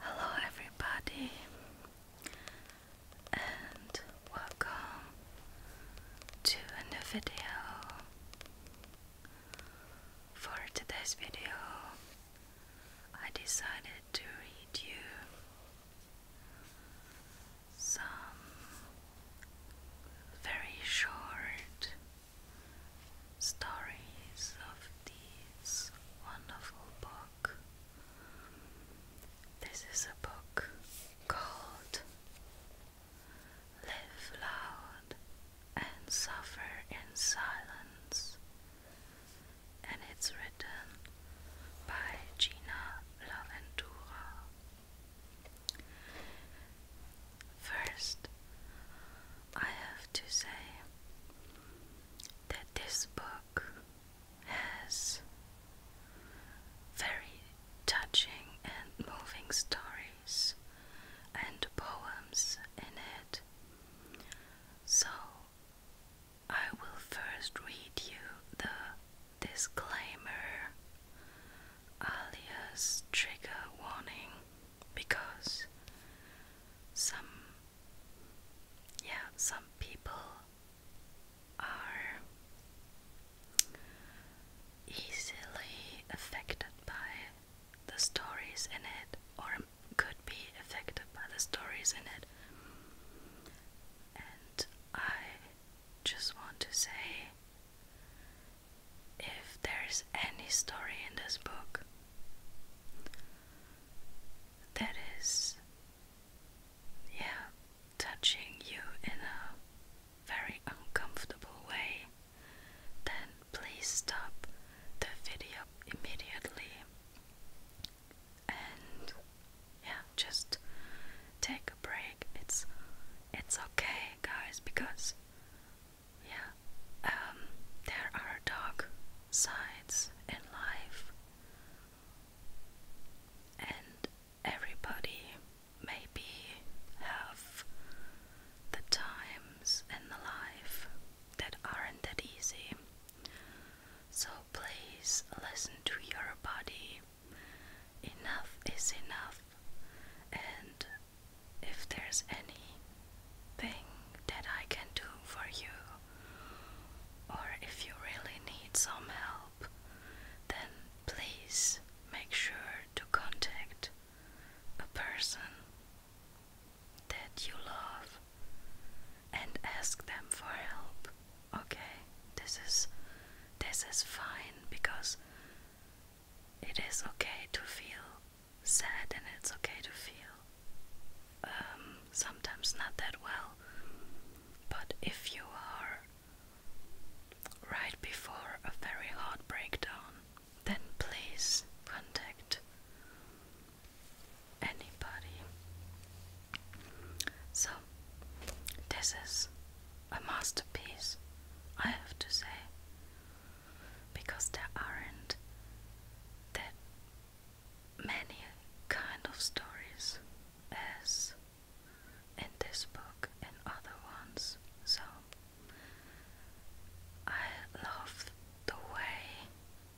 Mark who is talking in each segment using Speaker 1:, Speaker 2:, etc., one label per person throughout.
Speaker 1: Hello, everybody, and welcome to a video. For today's video, I decided to read you some very short stories of this wonderful book. This is a book called Live Loud and Suffer in Silence and it's written by Gina Laventura. First, I have to say that this book has very touching and moving stories and poems in it. So, I will first read you the disclaimer alias trigger warning because some yeah some people are easily affected by the stories in it or could be affected by the stories in it and I just want to say if there's any story in this book that is, yeah, touching you in a very uncomfortable way, then please stop the video immediately and yeah, just take a break. It's it's okay, guys, because yeah, um, there are dark sides in life, and everybody maybe have the times in the life that aren't that easy. So please listen to your body. Enough is enough. And if there's any thing that I can do for you, or if you really need some help, then please make sure to contact a person that you love and ask them for help. Okay? This is this is fine because it is okay to feel sad and it's okay to feel um, sometimes not that well. But if you are right before a very hard breakdown, then please contact anybody. So, this is a masterpiece, I have to say, because there aren't that many kind of stories as in this book and other ones. So, I love the way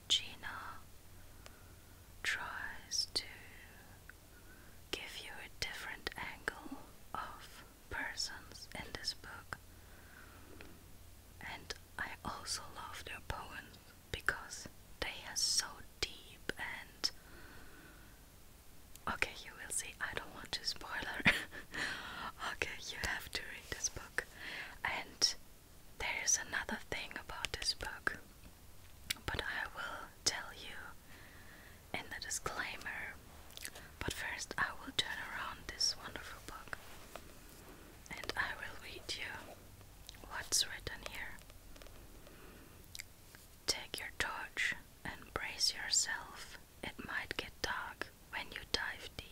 Speaker 1: Gina tries to give you a different angle of persons in this book. And I also love their poems because they are so deep and okay, you will see. I don't want to spoil her. okay, you have to read this book, and there is another thing about this book, but I will tell you in the disclaimer. But first, I will turn around this wonderful book and I will read you what's written here. Take your torch and brace yourself. It might get dark when you dive deep.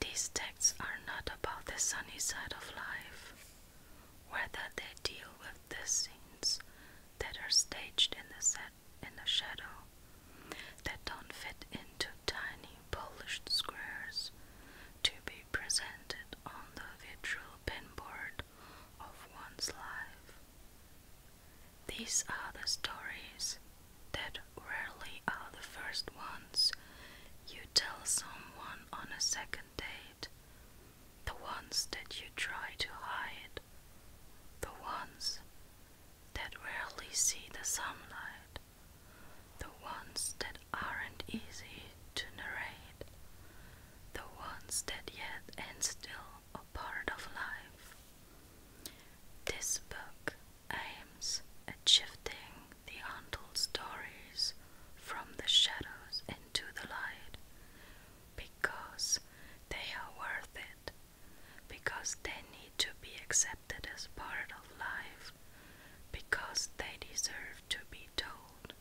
Speaker 1: These texts are not about the sunny side of life, whether they deal with the scenes that are staged in the set in the shadow, that don't fit into tiny polished squares to be presented on the virtual pinboard of one's life. These are the stories that rarely are the first ones you tell someone on a second date, the ones that you try to hide, the ones that rarely see the sunlight, the ones that aren't easy to narrate, the ones that yet and still are part of life. This book aims at shifting the untold stories from the shadows into the light because they are worth it, because they need to be accepted as part of life, because they deserve to be told.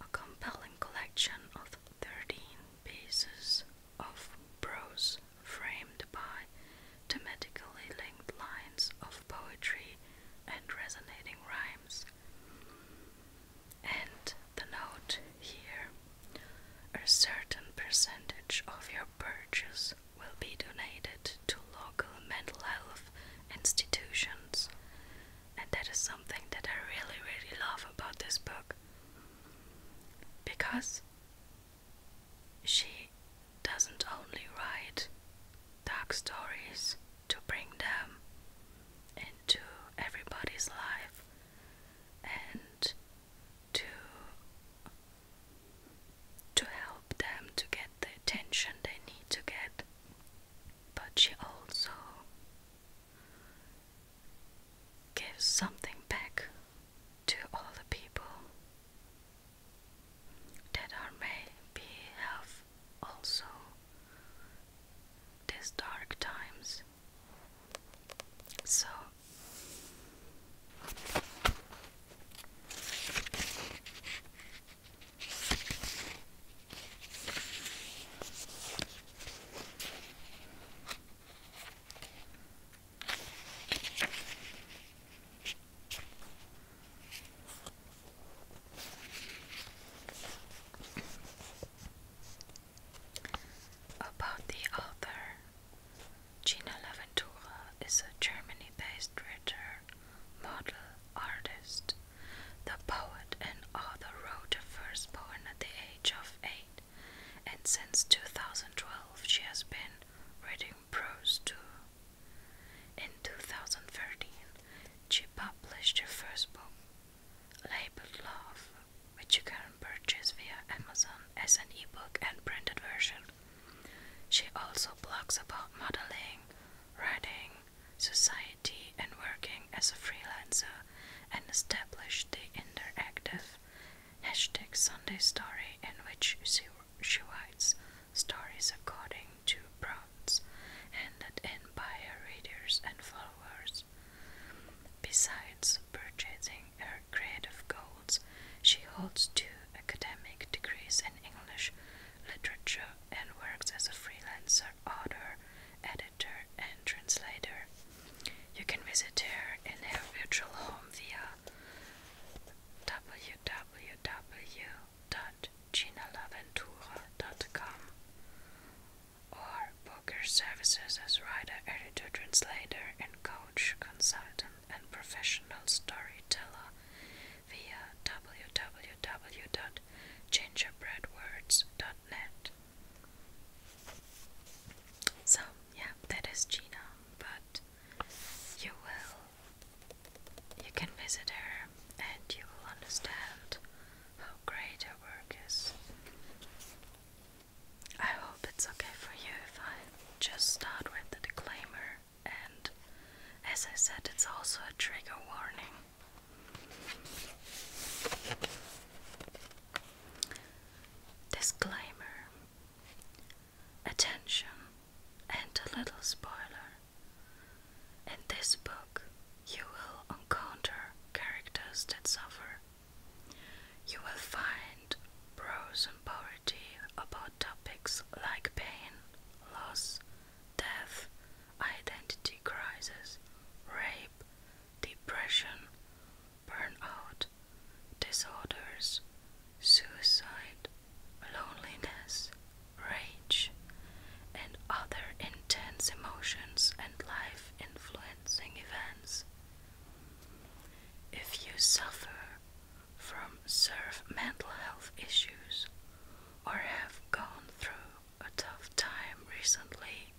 Speaker 1: A compelling collection of 13 pieces of prose framed by thematically linked lines of poetry and resonating rhymes. And the note here a certain percentage of your purchase will be donated to local mental health institutions. And that is something that I really, really love about this book. Because she doesn't only write dark stories to bring them into everybody's life and to to help them to get the attention they need to get but she also gives something back to all the people there may be have also these dark times. So about the author, Gina Laventura is a Germany based writer, model, artist. The poet and author wrote her first poem at the age of eight, and since 2012 she has been writing. Prose too. In 2013, she published her first book, labeled Love, which you can purchase via Amazon as an ebook and printed version. She also blogs about modeling, writing, society, and working as a freelancer and established the interactive hashtag Sunday Story, in which she, writes stories according to prompts and that end by her readers and followers. Besides purchasing her creative goals, she holds two academic degrees in English literature and works as a freelancer, author, editor, and translator. You can visit her in her virtual home via www.ginalaventura.com or book your services as writer, editor, translator, and coach, consultant, and professional storyteller via www.gingerbreadwords.net. So, yeah, that is Gina, but you will you can visit her and you will understand how great her work is. I hope it's okay for you if I just start with the disclaimer and as I said it's also a trigger warning. Disclaimer attention, and a little spoiler. In this book, you will encounter characters that suffer. You will find prose and poetry about topics like pain, loss, death, identity crisis, rape, depression, burnout, disorders, suicide, loneliness, rage, and other intense emotions and life influencing events. If you suffer from severe mental health issues or have gone through a tough time recently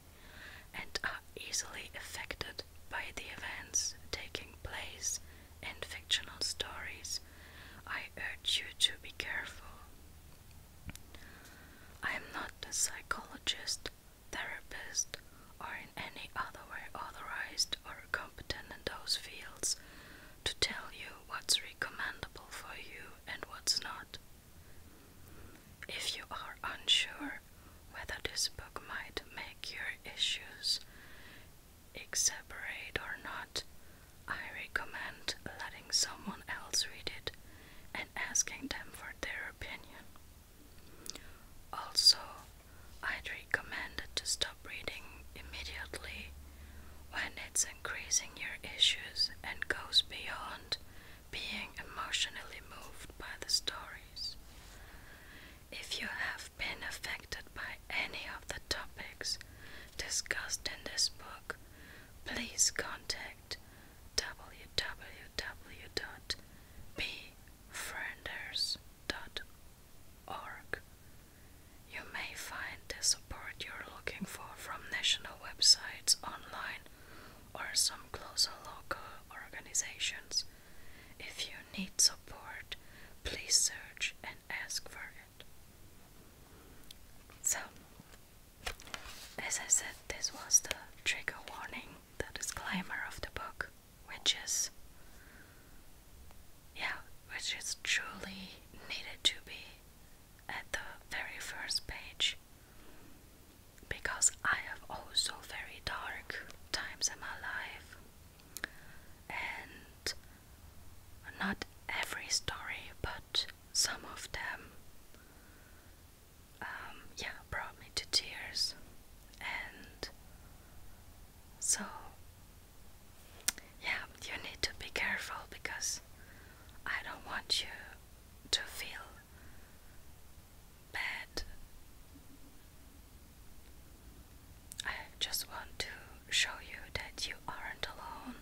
Speaker 1: and are easily affected by the events taking place in fictional stories, I urge you to be careful. I am not a psychologist, therapist, or in any other way authorized or competent in those fields to tell you what's recommendable for you and what's not. If you are unsure whether this book might make your issues exacerbate or not, I recommend letting someone else read it and asking them for their opinion. Also, i recommend to stop reading immediately when it's increasing your issues and goes beyond being emotionally moved by the stories. If you have been affected by any of the topics discussed in this book, please contact www.befrienders.org. You may find the support you're looking for from national websites online or some closer local organizations. If you need support, please search and ask for it. So, as I said, this was the trigger warning, the disclaimer of the book, which is, yeah, which is truly needed to be at the very first page because I have also very dark times in my life, and not every story, but some of them, um, yeah, brought me to tears, and so yeah, you need to be careful because I don't want you to feel bed. I just want to show you that you aren't alone.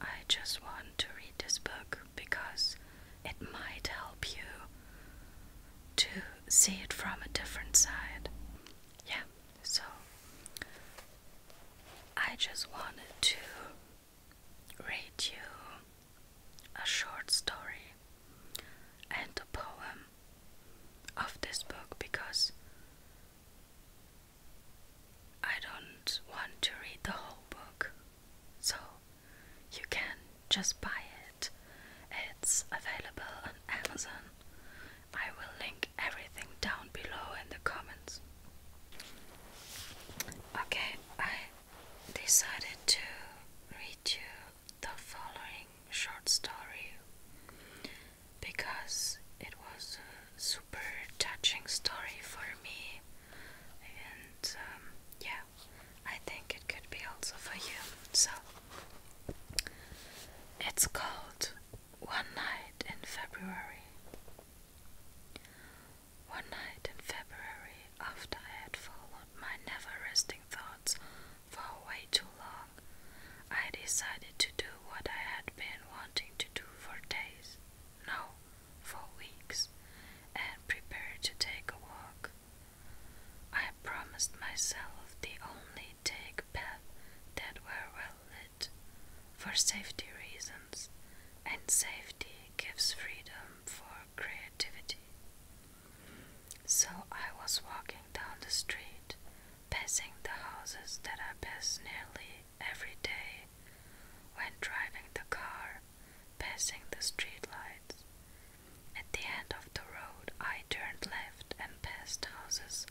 Speaker 1: I just want to read this book because it might help you to see it from a different side. Yeah, so I just wanted to read you a short story and a poem of this book because I don't want to read the whole book. So you can just buy it. It's available on Amazon. I will link everything down below in the comments. Okay, I decided to read you the following short story because it was a super touching story for me, and um, yeah, I think it could be also for you. So it's called One Night in February. One night in February, after I had followed my never resting thoughts for way too long, I decided to do what I had been wanting to do for days, no, for weeks, and prepared to take a walk. I promised myself the only take path that were well lit, for safety reasons, and safety gives freedom for creativity. So I was walking down the street, passing the houses that I pass nearly every day when driving the car, passing the street lights. At the end of the road, I turned left and passed houses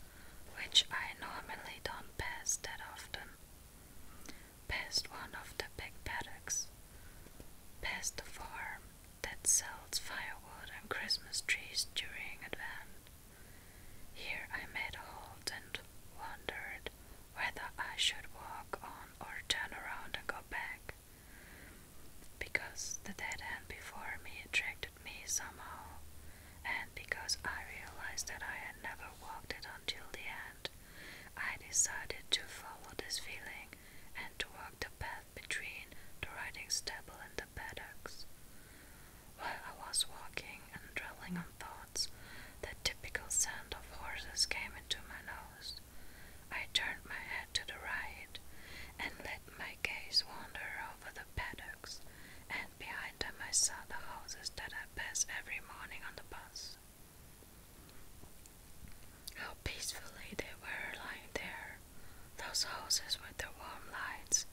Speaker 1: which I normally don't pass that often. Passed one of the big paddocks, Passed the farm, that sells firewood and Christmas trees during Advent. Here I made a halt and wondered whether I should walk on or turn around and go back, because the dead end before me attracted me somehow, and because I realized that I had never walked it until the end, I decided to follow this feeling and to walk the path between the riding stable and the paddocks. While I was walking and dwelling on thoughts, the typical scent of horses came into my nose. I turned my head to the right and let my gaze wander over the paddocks, and behind them I saw the houses that I pass every morning on the bus. How peacefully they were lying there, those houses with their warm lights,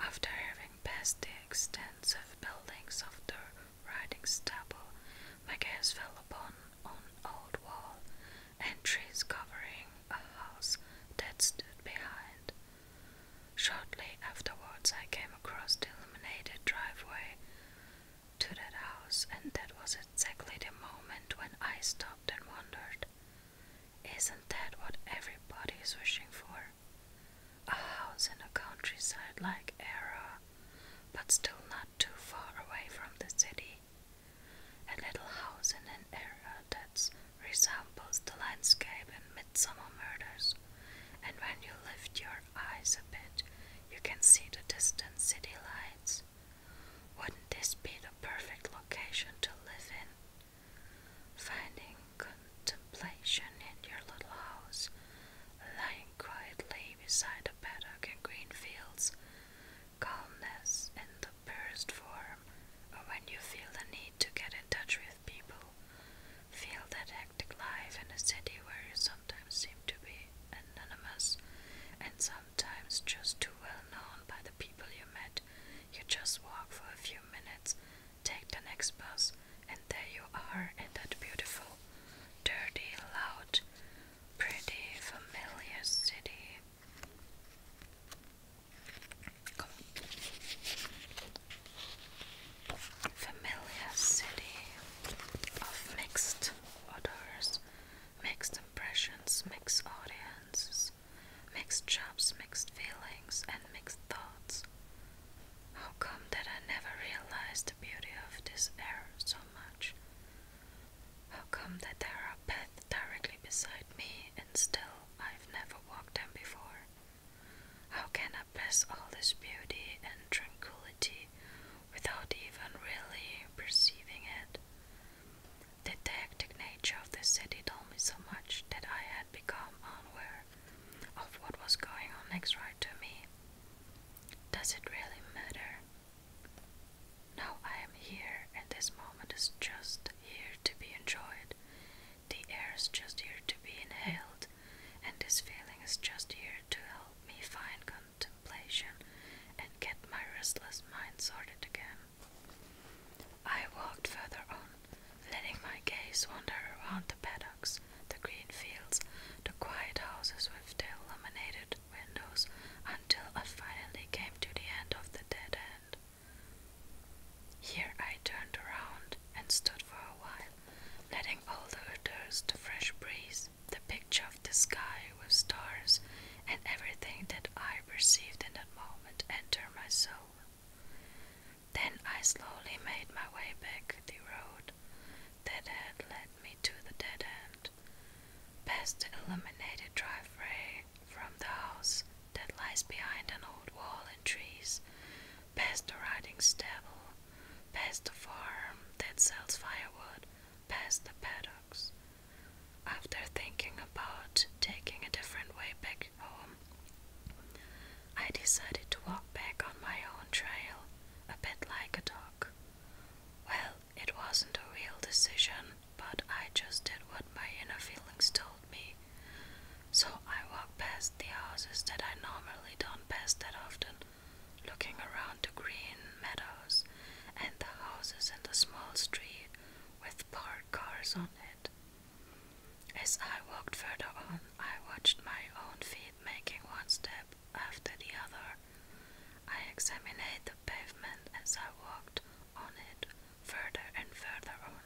Speaker 1: after having passed the extensive buildings of the riding stable, my gaze fell upon an old wall and trees covering a house that stood behind. Shortly afterwards, I came across the illuminated driveway to that house, and that was exactly the moment when I stopped and wondered Isn't that what everybody is wishing for? A house in a countryside like Era, but still not too far away from the city. A little house in an area that resembles the landscape in Midsummer Murders, and when you lift your eyes a bit, you can see the distant city lights, wouldn't this be the perfect location to live in? Finding contemplation in your little house, lying quietly beside a paddock and green fields, calmness in the purest form, or when you feel the need to get in touch with people, feel that hectic life in a city where you sometimes seem to be anonymous and so sometimes just too well known by the people you met. You just walk for a few minutes, take the next bus, and there you are in that beautiful, dirty, loud, pretty, familiar city. Familiar city of mixed odors, mixed impressions, mixed audiences, mixed jobs, mixed feelings, and mixed thoughts. How come that I never realized the beauty of this air so much? How come that there are paths directly beside me and still I've never walked them before? How can I bless all this beauty and tranquility without even really perceiving it. The hectic nature of the city told me so much that I had become unaware of what was going on next right to me. Does it really matter? No, I am here, and this moment is just here to be enjoyed. The air is just here to be inhaled, and this feeling is just here to help me find control contemplation and get my restless mind sorted again. I walked further on, letting my gaze wander around the paddocks, the green fields, the quiet houses with their illuminated windows, until I finally came to the end of the dead end. Here I turned around and stood for a while, letting all the odors, the fresh breeze, the picture of the sky with stars and everything that I perceived in that moment entered my soul. Then I slowly made my way back the road that had led me to the dead end, past the illuminated driveway from the house that lies behind an old wall and trees, past the riding stable, past the farm that sells firewood past the paddocks. After thinking about taking a different way back home, I decided to walk back on my own trail, a bit like a dog. Well, it wasn't a real decision, but I just did what my inner feelings told me. So I walked past the houses that I normally don't pass that often, Looking around the green meadows and the houses and the small street with parked cars on it. As I walked further on, I watched my own feet making one step after the other. I examined the pavement as I walked on it further and further on.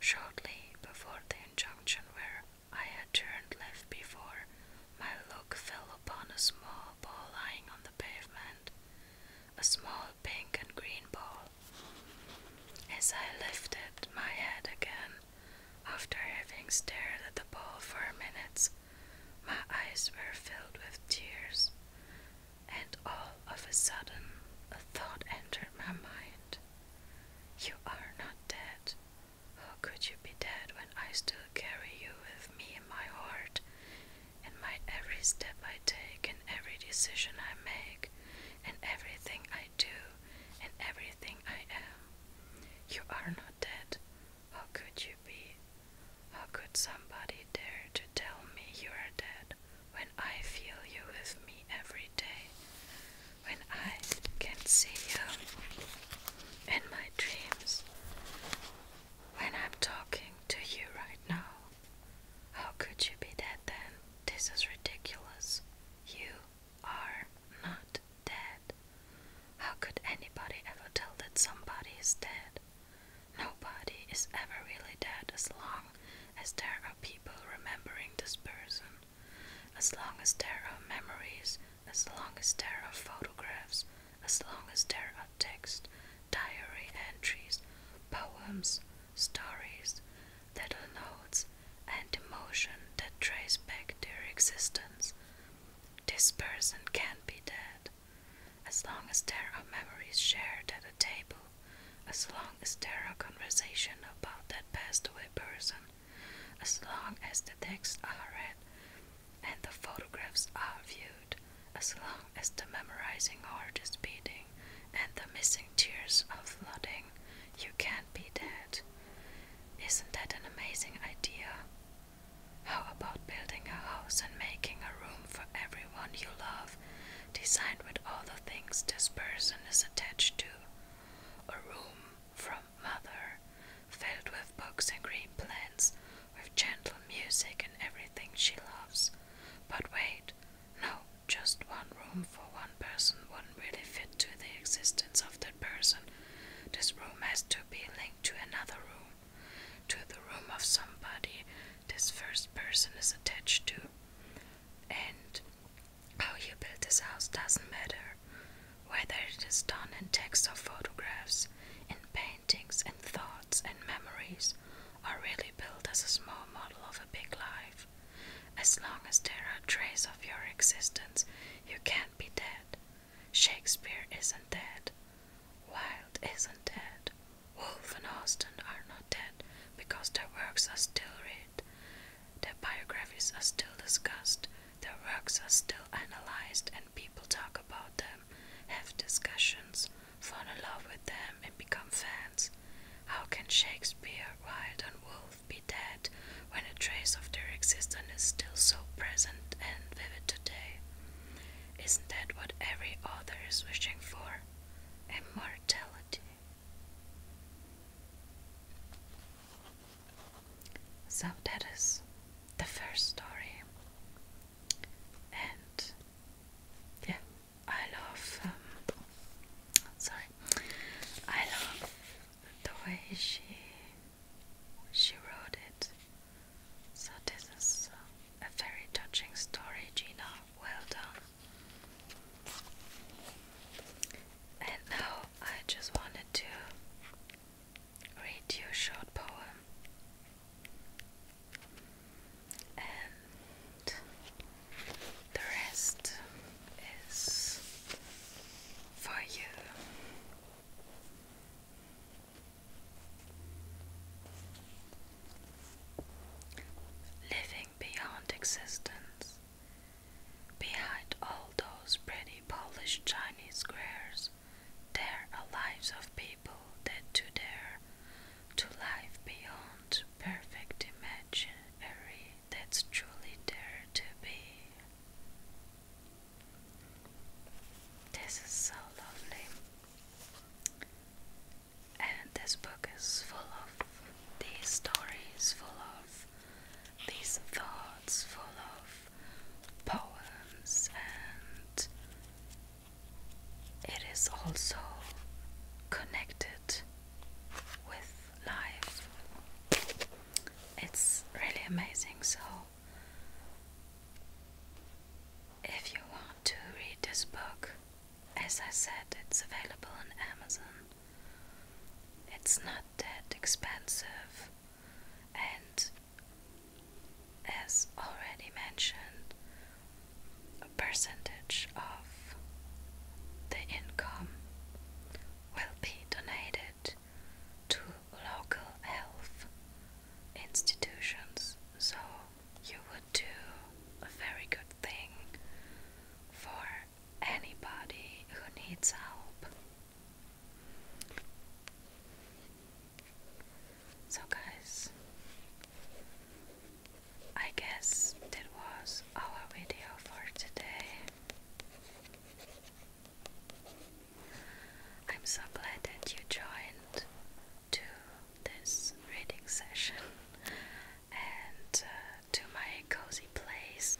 Speaker 1: Shortly before the junction where I had turned left before, my look fell upon a small ball lying on the pavement, a small pink and green ball. As I lifted my head again, after having stared at the ball for minutes, my eyes were filled with tears, and all of a sudden a thought entered my mind. You are not dead, how could you be dead when I still carry you with me in my heart? In my every step I take, in every decision I make, in everything I do, in everything I am. You are not dead. How could you be? How could somebody dare to tell me you are dead when I feel you with me every day? When I can see you in my dreams when I'm talking to you right now. How could you be dead then? This is ridiculous. You are not dead. How could anybody ever tell that somebody is dead? Nobody is ever really dead as long as there are people remembering this person, as long as there are memories as long as there are photographs, as long as there are text, diary entries, poems, stories, little notes, and emotion that trace back their existence. This person can not be dead. As long as there are memories shared at a table, as long as there are conversations about that passed away person, as long as the texts are read and the photographs are viewed, as long as the memorizing heart is beating and the missing tears are flooding, you can't be dead. Isn't that an amazing idea? How about building a house and making a room for everyone you love, designed with all the things this person is attached to? A room from mother, filled with books and green plants, with gentle music and everything she loves. But wait, no, just one room for one person wouldn't really fit to the existence of that person. This room has to be linked to another room, to the room of somebody this first person is attached to. And how you build this house doesn't matter whether it is done in texts or photographs, in paintings, in thoughts, and memories, are really built as a small model of a big life. As long as there are traces of your existence, you can't be dead. Shakespeare isn't dead. Wilde isn't dead. Wolfe and Austen are not dead because their works are still read, their biographies are still discussed, their works are still analyzed and people talk about them, have discussions, fall in love with them and become fans. How can Shakespeare, Wilde and Wolfe be dead when a trace of their existence is still so present and vivid today? Isn't that what every author is wishing for? Immortality. So that is the first story, and yeah, I love. Um, sorry, I love the way she she wrote it. So this is uh, a very touching story, Gina. Well done. And now I just wanted to read your short poem and the rest is for you. Living beyond existence Behind all those pretty polished Chinese squares, there are lives of people that do dare to life beyond perfect imaginary that's truly there to be. This is so lovely. And this book is full of these stories, full of these thoughts, full of poems, and it is also connected with life. It's really amazing. So, if you want to read this book, as I said, it's available on Amazon. It's not that expensive and as already mentioned, a percentage of the income will be donated to local health institutions. So you would do a very good thing for anybody who needs help. So, guys, I guess that was our video for today. I'm so glad that you joined to this reading session and uh, to my cozy place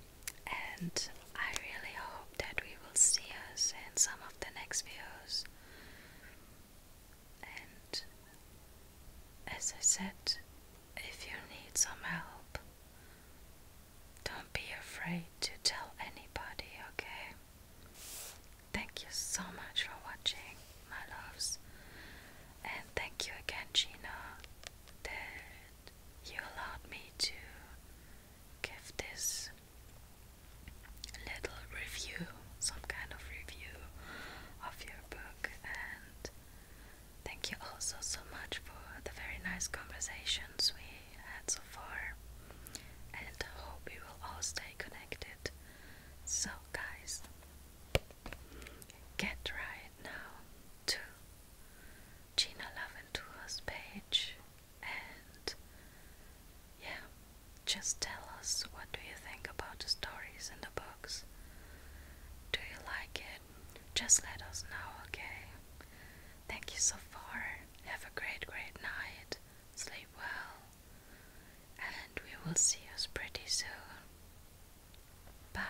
Speaker 1: and I really hope that we will see us in some of the next videos. And as I said, if you need some help, don't be afraid to tell anybody, okay? Thank you so much for watching, my loves. And thank you again, Gina. The you allowed me to give this little review, some kind of review of your book, and thank you also so much for the very nice conversations we had so far. And I hope we will all stay connected. So, guys, get right now to Gina love and Laventura's page and yeah, just tell us what do you think about the stories in the books. Do you like it? Just let us know, okay? Thank you so far. Have a great, great night. Sleep well. And we will see us pretty soon. Bye.